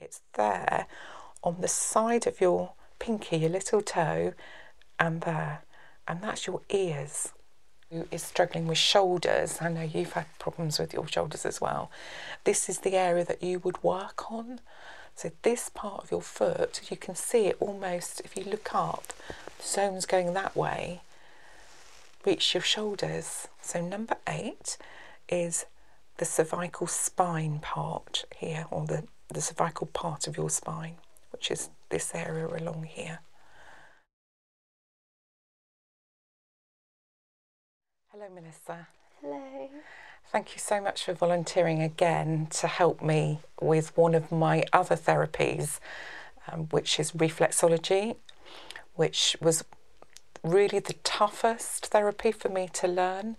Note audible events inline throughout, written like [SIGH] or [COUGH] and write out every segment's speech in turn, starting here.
It's there on the side of your pinky, your little toe, and there. And that's your ears. Who is struggling with shoulders? I know you've had problems with your shoulders as well. This is the area that you would work on. So, this part of your foot, you can see it almost if you look up, zones going that way, reach your shoulders. So, number eight is the cervical spine part here, or the, the cervical part of your spine, which is this area along here. Hello, Melissa. Hello. Thank you so much for volunteering again to help me with one of my other therapies, um, which is reflexology, which was really the toughest therapy for me to learn.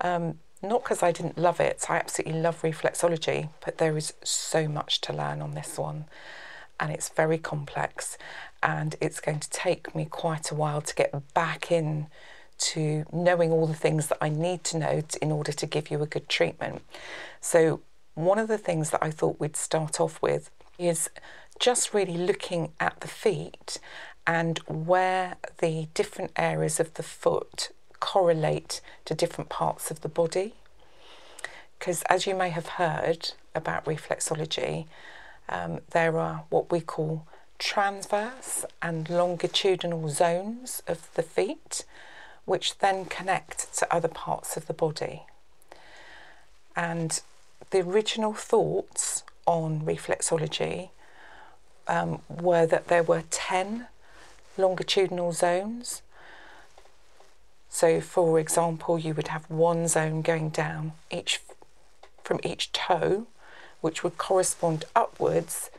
Um, not because I didn't love it, I absolutely love reflexology, but there is so much to learn on this one. And it's very complex, and it's going to take me quite a while to get back in to knowing all the things that I need to know in order to give you a good treatment. So, one of the things that I thought we'd start off with is just really looking at the feet and where the different areas of the foot correlate to different parts of the body. Because as you may have heard about reflexology, um, there are what we call transverse and longitudinal zones of the feet, which then connect to other parts of the body. And the original thoughts on reflexology um, were that there were 10 longitudinal zones. So, for example, you would have one zone going down each from each toe, which would correspond upwards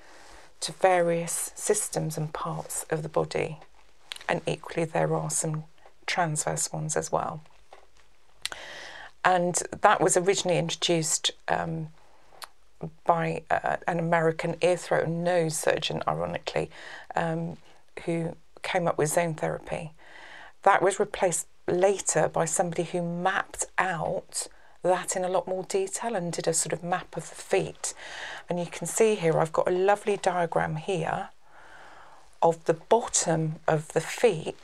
to various systems and parts of the body. And equally, there are some transverse ones as well. And that was originally introduced um, by uh, an American ear, throat, and nose surgeon, ironically, um, who came up with zone therapy. That was replaced later by somebody who mapped out that in a lot more detail and did a sort of map of the feet. And you can see here, I've got a lovely diagram here of the bottom of the feet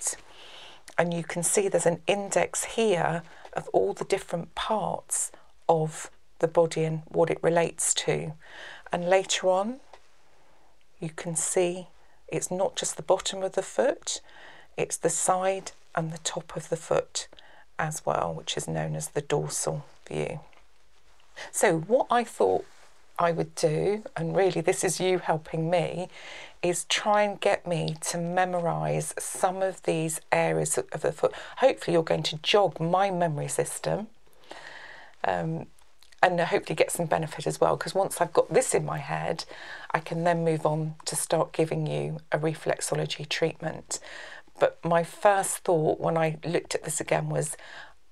and you can see there's an index here of all the different parts of the body and what it relates to. And later on, you can see it's not just the bottom of the foot, it's the side and the top of the foot as well, which is known as the dorsal view. So, what I thought I would do, and really this is you helping me, is try and get me to memorize some of these areas of the foot. Hopefully, you're going to jog my memory system. Um, and hopefully get some benefit as well because once I've got this in my head, I can then move on to start giving you a reflexology treatment. But my first thought when I looked at this again was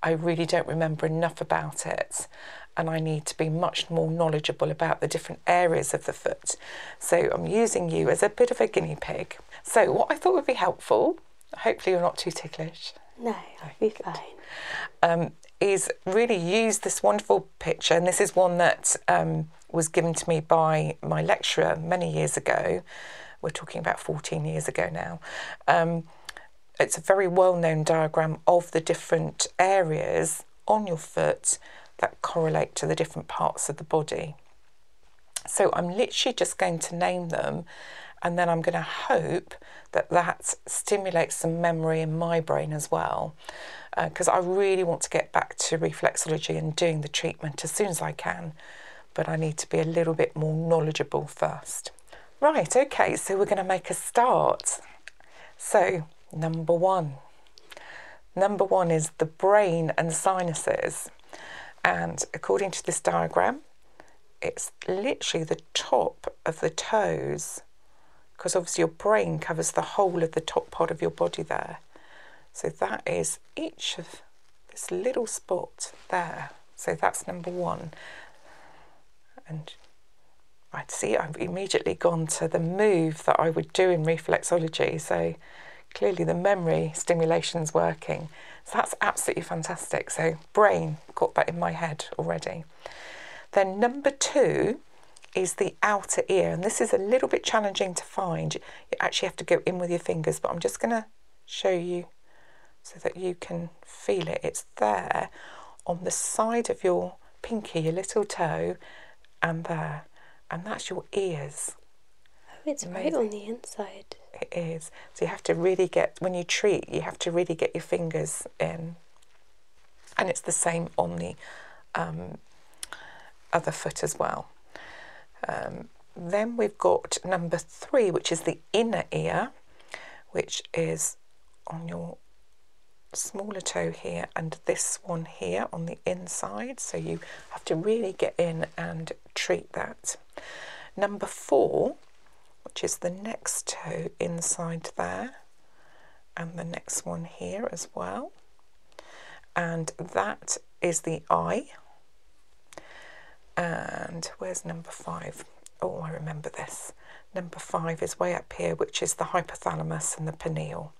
I really don't remember enough about it and I need to be much more knowledgeable about the different areas of the foot. So I'm using you as a bit of a guinea pig. So, what I thought would be helpful, hopefully, you're not too ticklish. No, I'll be fine. Um, is really use this wonderful picture, and this is one that um, was given to me by my lecturer many years ago. We're talking about 14 years ago now. Um, it's a very well known diagram of the different areas on your foot that correlate to the different parts of the body. So I'm literally just going to name them and then I'm going to hope that that stimulates some memory in my brain as well. Because uh, I really want to get back to reflexology and doing the treatment as soon as I can, but I need to be a little bit more knowledgeable first. Right, okay, so we're going to make a start. So, number one. Number one is the brain and sinuses. And according to this diagram, it's literally the top of the toes, because obviously your brain covers the whole of the top part of your body there. So that is each of this little spot there. So that's number one. And I'd see I've immediately gone to the move that I would do in reflexology. So clearly the memory stimulation is working. So that's absolutely fantastic. So brain got that in my head already. Then number two is the outer ear, and this is a little bit challenging to find. You actually have to go in with your fingers, but I'm just going to show you so that you can feel it. It's there on the side of your pinky, your little toe, and there, and that's your ears. Oh, it's right on the inside. It is. So you have to really get, when you treat, you have to really get your fingers in. And it's the same on the um, other foot as well. Um, then we've got number three, which is the inner ear, which is on your smaller toe here and this one here on the inside so you have to really get in and treat that number four which is the next toe inside there and the next one here as well and that is the eye and where's number five? Oh, I remember this Number five is way up here, which is the hypothalamus and the pineal,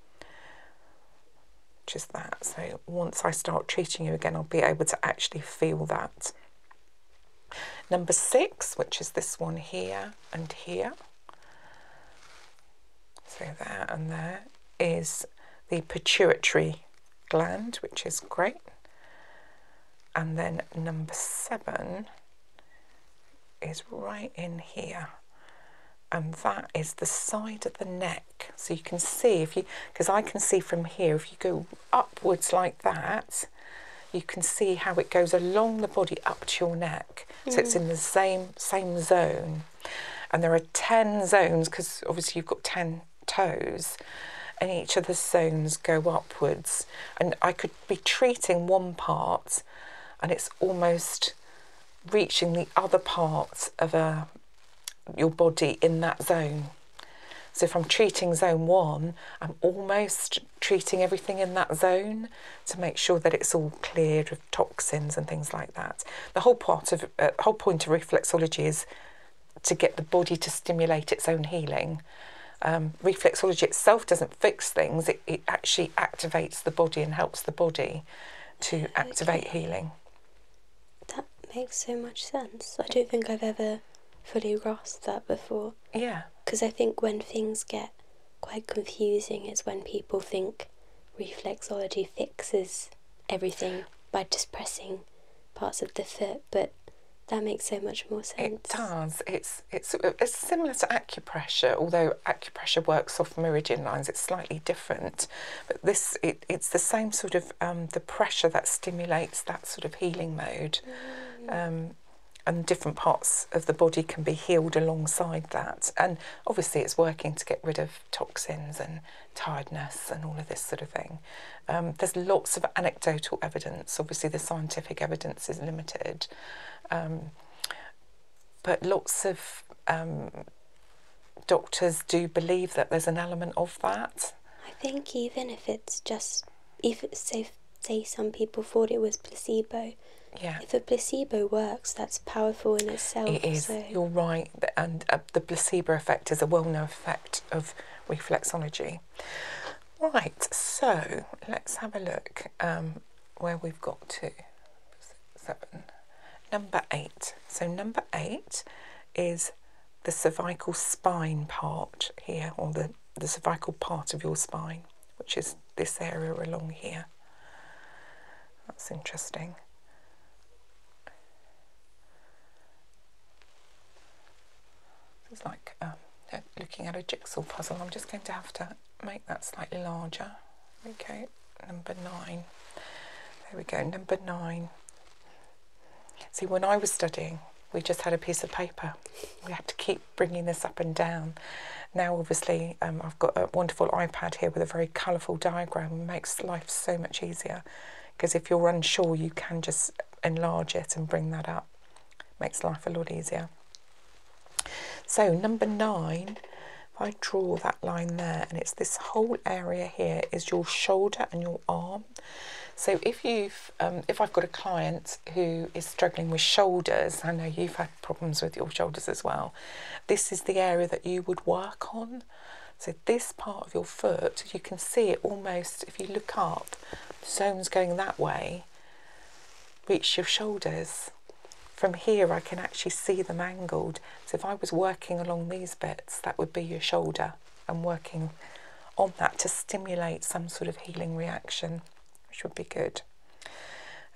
which is that. So once I start treating you again, I'll be able to actually feel that. Number six, which is this one here and here, so there and there, is the pituitary gland, which is great. And then number seven is right in here and that is the side of the neck so you can see if you because I can see from here if you go upwards like that you can see how it goes along the body up to your neck so it's mm. in the same same zone and there are 10 zones because obviously you've got 10 toes and each of the zones go upwards and I could be treating one part and it's almost reaching the other parts of uh, your body in that zone. So if I'm treating zone one, I'm almost treating everything in that zone to make sure that it's all cleared of toxins and things like that. The whole part of uh, whole point of reflexology is to get the body to stimulate its own healing. Um, reflexology itself doesn't fix things, it, it actually activates the body and helps the body to activate healing. That makes so much sense. I don't think I've ever fully grasped that before. Yeah. Because I think when things get quite confusing is when people think reflexology fixes everything by just pressing parts of the foot, but that makes so much more sense. It does. It's it's, similar to acupressure, although acupressure works off meridian lines, it's slightly different. But this, it, it's the same sort of, um, the pressure that stimulates that sort of healing mode. Mm. Um, and different parts of the body can be healed alongside that. And obviously, it's working to get rid of toxins and tiredness and all of this sort of thing. Um, there's lots of anecdotal evidence. Obviously, the scientific evidence is limited but lots of um, doctors do believe that there's an element of that. I think even if it's just if it's safe, say some people thought it was placebo. Yeah. If a placebo works, that's powerful in itself. It is. You're right, and uh, the placebo effect is a well-known effect of reflexology. Right. So let's have a look. Um, where we've got to. Seven. Number eight. So number eight is the cervical spine part here, or the, the cervical part of your spine, which is this area along here. That's interesting. It's like um, looking at a jigsaw puzzle. I'm just going to have to make that slightly larger. Okay, number nine. There we go, number nine. See, when I was studying, we just had a piece of paper. We had to keep bringing this up and down. Now, obviously, um, I've got a wonderful iPad here with a very colourful diagram. It makes life so much easier because if you're unsure, you can just enlarge it and bring that up. It makes life a lot easier. So number nine, if I draw that line there, and it's this whole area here is your shoulder and your arm. So if you've, um, if I've got a client who is struggling with shoulders, I know you've had problems with your shoulders as well. This is the area that you would work on. So this part of your foot, you can see it almost, if you look up, the zone's going that way, reach your shoulders. From here I can actually see them angled. So if I was working along these bits, that would be your shoulder. and working on that to stimulate some sort of healing reaction, which would be good.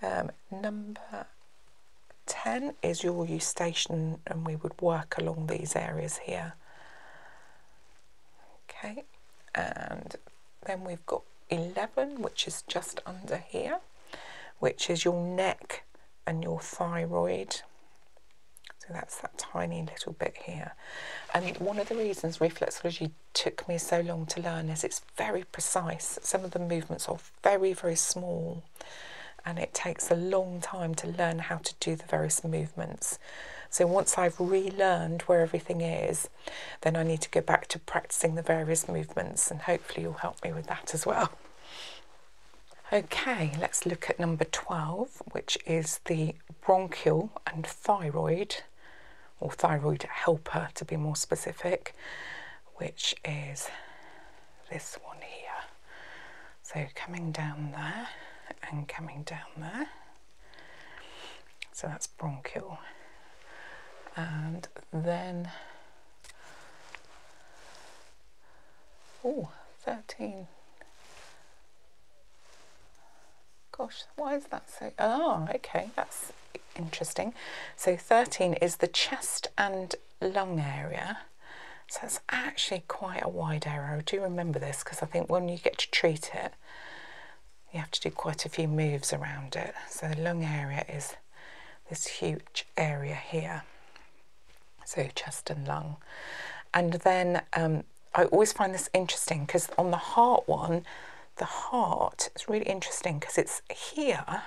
Um, number 10 is your eustachian and we would work along these areas here. Okay, and then we've got 11, which is just under here which is your neck and your thyroid. So that's that tiny little bit here. And one of the reasons reflexology took me so long to learn is it's very precise. Some of the movements are very, very small and it takes a long time to learn how to do the various movements. So once I've relearned where everything is, then I need to go back to practicing the various movements and hopefully you'll help me with that as well. Okay, let's look at number 12, which is the bronchial and thyroid, or thyroid helper to be more specific, which is this one here. So coming down there and coming down there. So that's bronchial. And then oh 13 gosh why is that so oh okay that's interesting so 13 is the chest and lung area so it's actually quite a wide area I do remember this because I think when you get to treat it you have to do quite a few moves around it so the lung area is this huge area here, so chest and lung. And then um, I always find this interesting because on the heart one, the heart is really interesting because it's here.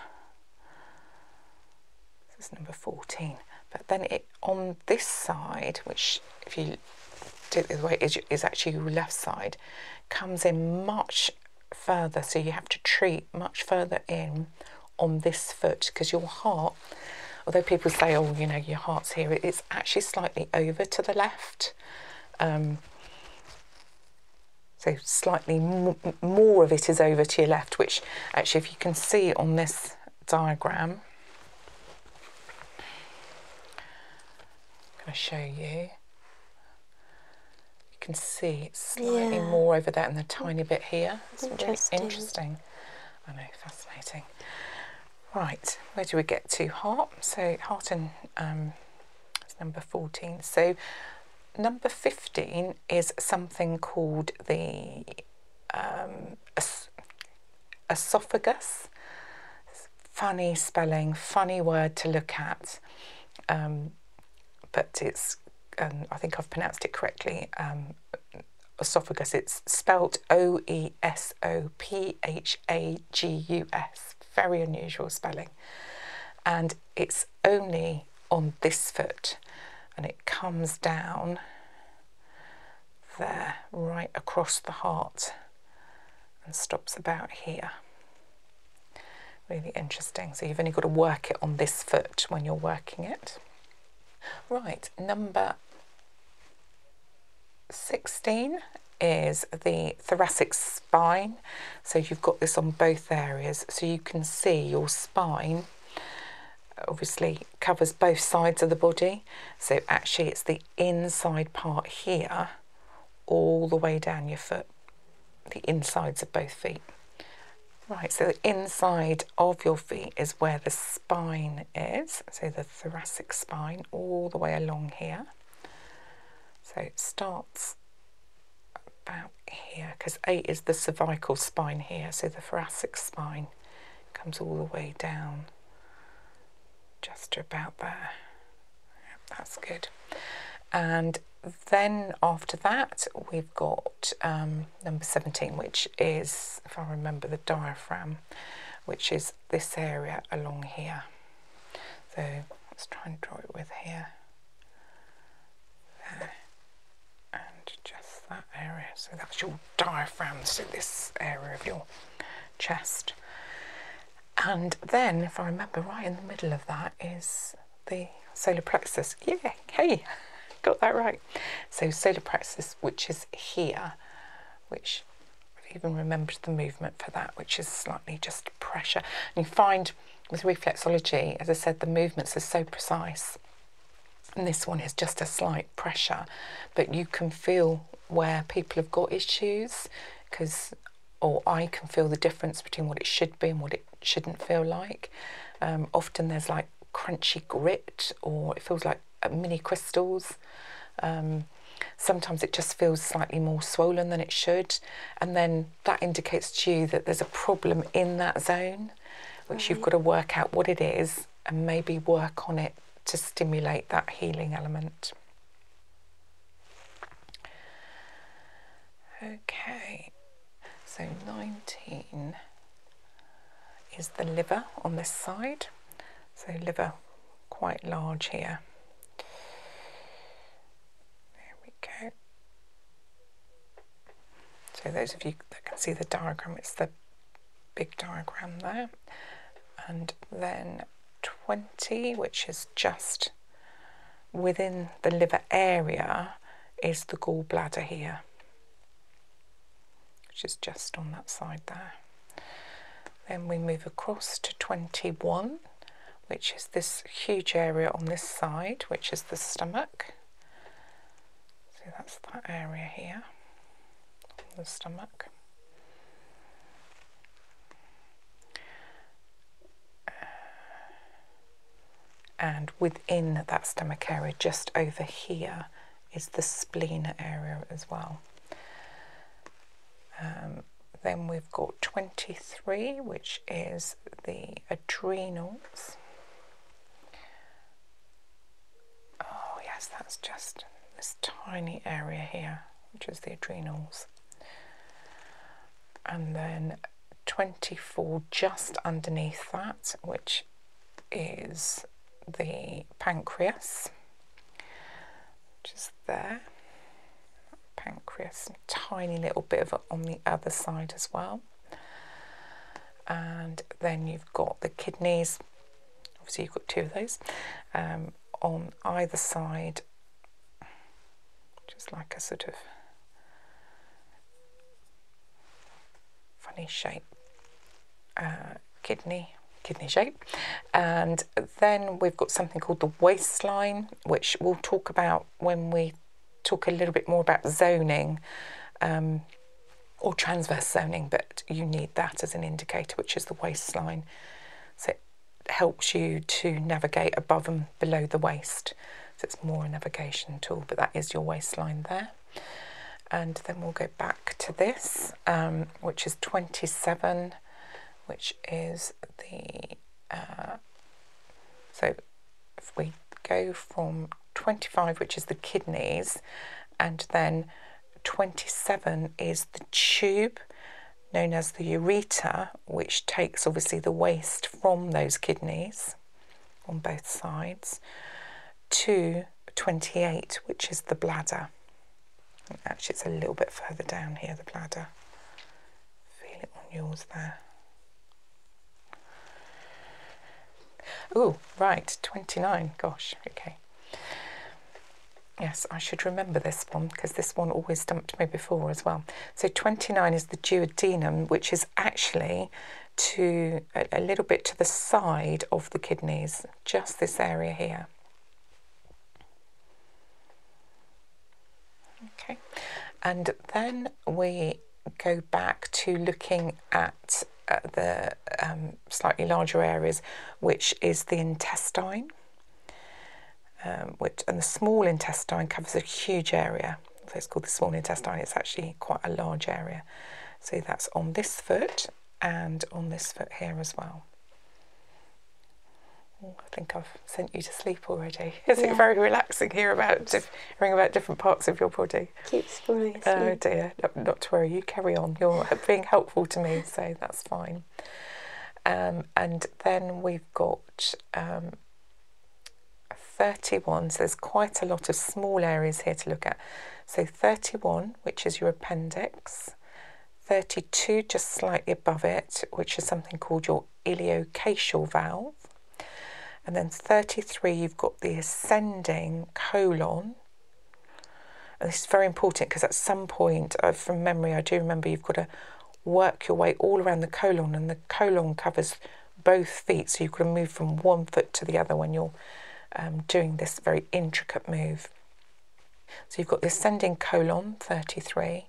This is number 14. But then it on this side, which if you do it the way, is, is actually left side, comes in much further. So you have to treat much further in on this foot because your heart, although people say, oh, you know, your heart's here, it's actually slightly over to the left. Um, so slightly more of it is over to your left, which actually, if you can see on this diagram, I'm going to show you. You can see it's slightly more over there and the mm. tiny bit here. interesting. interesting. I know, fascinating. Right, where do we get to? Heart. So heart and um, it's number 14. So number 15 is something called the um, esophagus. Funny spelling, funny word to look at. Um, but it's, um, I think I've pronounced it correctly, um, esophagus. It's spelt O E S O P H A G U S. Very unusual spelling. And it's only on this foot and it comes down there, right across the heart and stops about here. Really interesting. So you've only got to work it on this foot when you're working it. Right, number 16 is the thoracic spine. So you've got this on both areas. So you can see your spine obviously covers both sides of the body. So actually it's the inside part here all the way down your foot the insides of both feet. Right, so the inside of your feet is where the spine is, so the thoracic spine all the way along here. So it starts about here, because eight is the cervical spine here, so the thoracic spine comes all the way down just about there. That's good. And then after that, we've got um, number 17, which is, if I remember, the diaphragm, which is this area along here. So let's try and draw it with here. There. And just that area. So that's your diaphragm, so this area of your chest. And then, if I remember right in the middle of that, is the solar plexus. Yeah, hey, got that right. So solar plexus, which is here, which I've even remembered the movement for that, which is slightly just pressure. And you find with reflexology, as I said, the movements are so precise. And this one is just a slight pressure, but you can feel where people have got issues because or I can feel the difference between what it should be and what it shouldn't feel like. Um, often there's like crunchy grit, or it feels like uh, mini crystals. Um, sometimes it just feels slightly more swollen than it should, and then that indicates to you that there's a problem in that zone, which you've mm-hmm. got to work out what it is and maybe work on it to stimulate that healing element. Okay, so 19 is the liver on this side. So liver quite large here. There we go. So those of you that can see the diagram, it's the big diagram there. And then 20, which is just within the liver area is the gallbladder here, which is just on that side there. Then we move across to 21, which is this huge area on this side, which is the stomach. So that's that area here, the stomach and within that stomach area, just over here, is the spleen area as well. Um, then we've got 23, which is the adrenals. Oh, yes, that's just this tiny area here, which is the adrenals. And then 24 just underneath that, which is the pancreas, just there. Pancreas, tiny little bit of it on the other side as well. And then you've got the kidneys, obviously, you've got two of those um, on either side just like a sort of funny shape uh, kidney kidney shape and then we've got something called the waistline which we'll talk about when we talk a little bit more about zoning um, or transverse zoning but you need that as an indicator which is the waistline so helps you to navigate above and below the waist. So it's more a navigation tool, but that is your waistline there. And then we'll go back to this, um, which is 27, which is the, uh, so we go from 25, which is the kidneys, and then 27 is the tube, known as the ureter, which takes obviously the waste from those kidneys on both sides, to 28, which is the bladder. actually, it's a little bit further down here, the bladder. Feel it on yours there. Oh, right, 29, gosh, okay. Yes, I should remember this one because this one always dumped me before as well. So 29 is the duodenum, which is actually to a, little bit to the side of the kidneys, just this area here. Okay, and then we go back to looking at uh, the um, slightly larger areas, which is the intestine. Um, which and the small intestine covers a huge area. So it's called the small intestine. It's actually quite a large area. So that's on this foot and on this foot here as well. I think I've sent you to sleep already. [LAUGHS] Is it very relaxing here about hearing about different parts of your body? Keeps falling oh asleep. Oh dear, not to worry. You carry on. You're [LAUGHS] being helpful to me, so that's fine. Um, and then we've got um, 31, so there's quite a lot of small areas here to look at. So 31, which is your appendix, 32 just slightly above it, which is something called your iliocacal valve, and then 33, you've got the ascending colon. And this is very important because at some point, uh, from memory, I do remember you've got a work your way all around the colon, and the colon covers both feet, so you have got to move from one foot to the other when you're um, doing this very intricate move. So you've got the ascending colon, 33,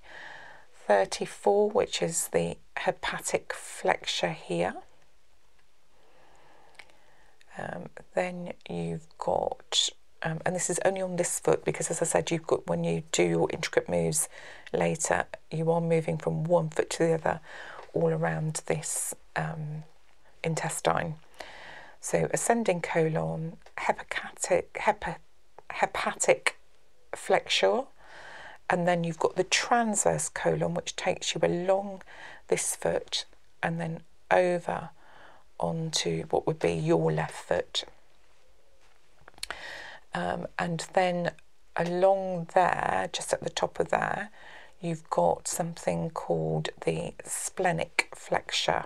34, which is the hepatic flexure here. Um, then you've got, um, and this is only on this foot because, as I said, you've got when you do your intricate moves, later, you are moving from one foot to the other all around this um, intestine. So ascending colon, hepatic, hepa, hepatic flexure, and then you've got the transverse colon, which takes you along this foot and then over onto what would be your left foot. Um, and then along there, just at the top of there, you've got something called the splenic flexure.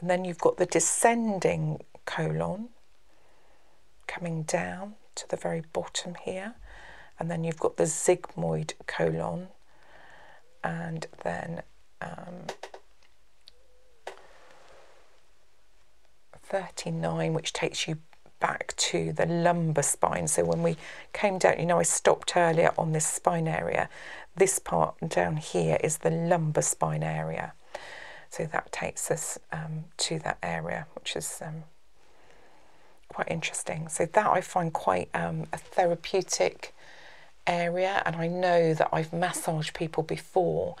And then you've got the descending colon coming down to the very bottom here. And then you've got the sigmoid colon. And then um, 39, which takes you back to the lumbar spine. So when we came down, you know, I stopped earlier on this spine area. This part down here is the lumbar spine area. So that takes us um, to that area, which is um, quite interesting. So that I find quite um, a therapeutic area. And I know that I've massaged people before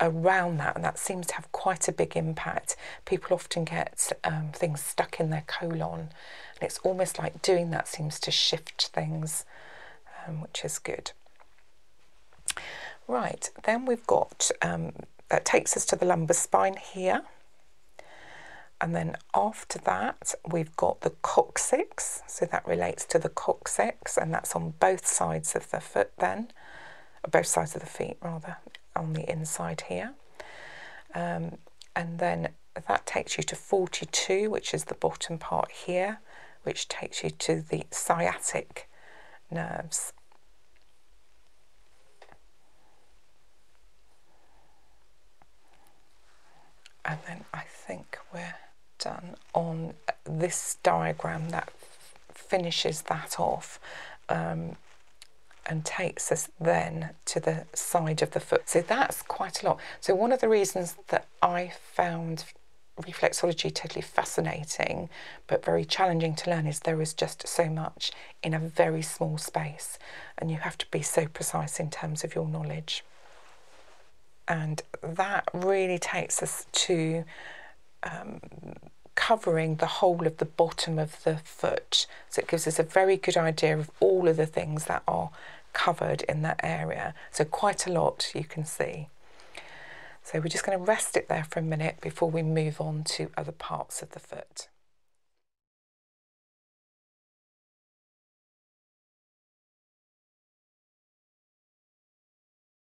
around that, and that seems to have quite a big impact. People often get um, things stuck in their colon, and it's almost like doing that seems to shift things, um, which is good. Right, then we've got um, that takes us to the lumbar spine here. And then after that, we've got the coccyx. So that relates to the coccyx, and that's on both sides of the foot then both sides of the feet rather, on the inside here. Um, and then that takes you to 42, which is the bottom part here, which takes you to the sciatic nerves. And then I think we're done on this diagram that finishes that off um, and takes us then to the side of the foot. So that's quite a lot. So one of the reasons that I found reflexology totally fascinating but very challenging to learn is there is just so much in a very small space and you have to be so precise in terms of your knowledge. And that really takes us to um, covering the whole of the bottom of the foot. So it gives us a very good idea of all of the things that are covered in that area. So quite a lot you can see. So we're just going to rest it there for a minute before we move on to other parts of the foot.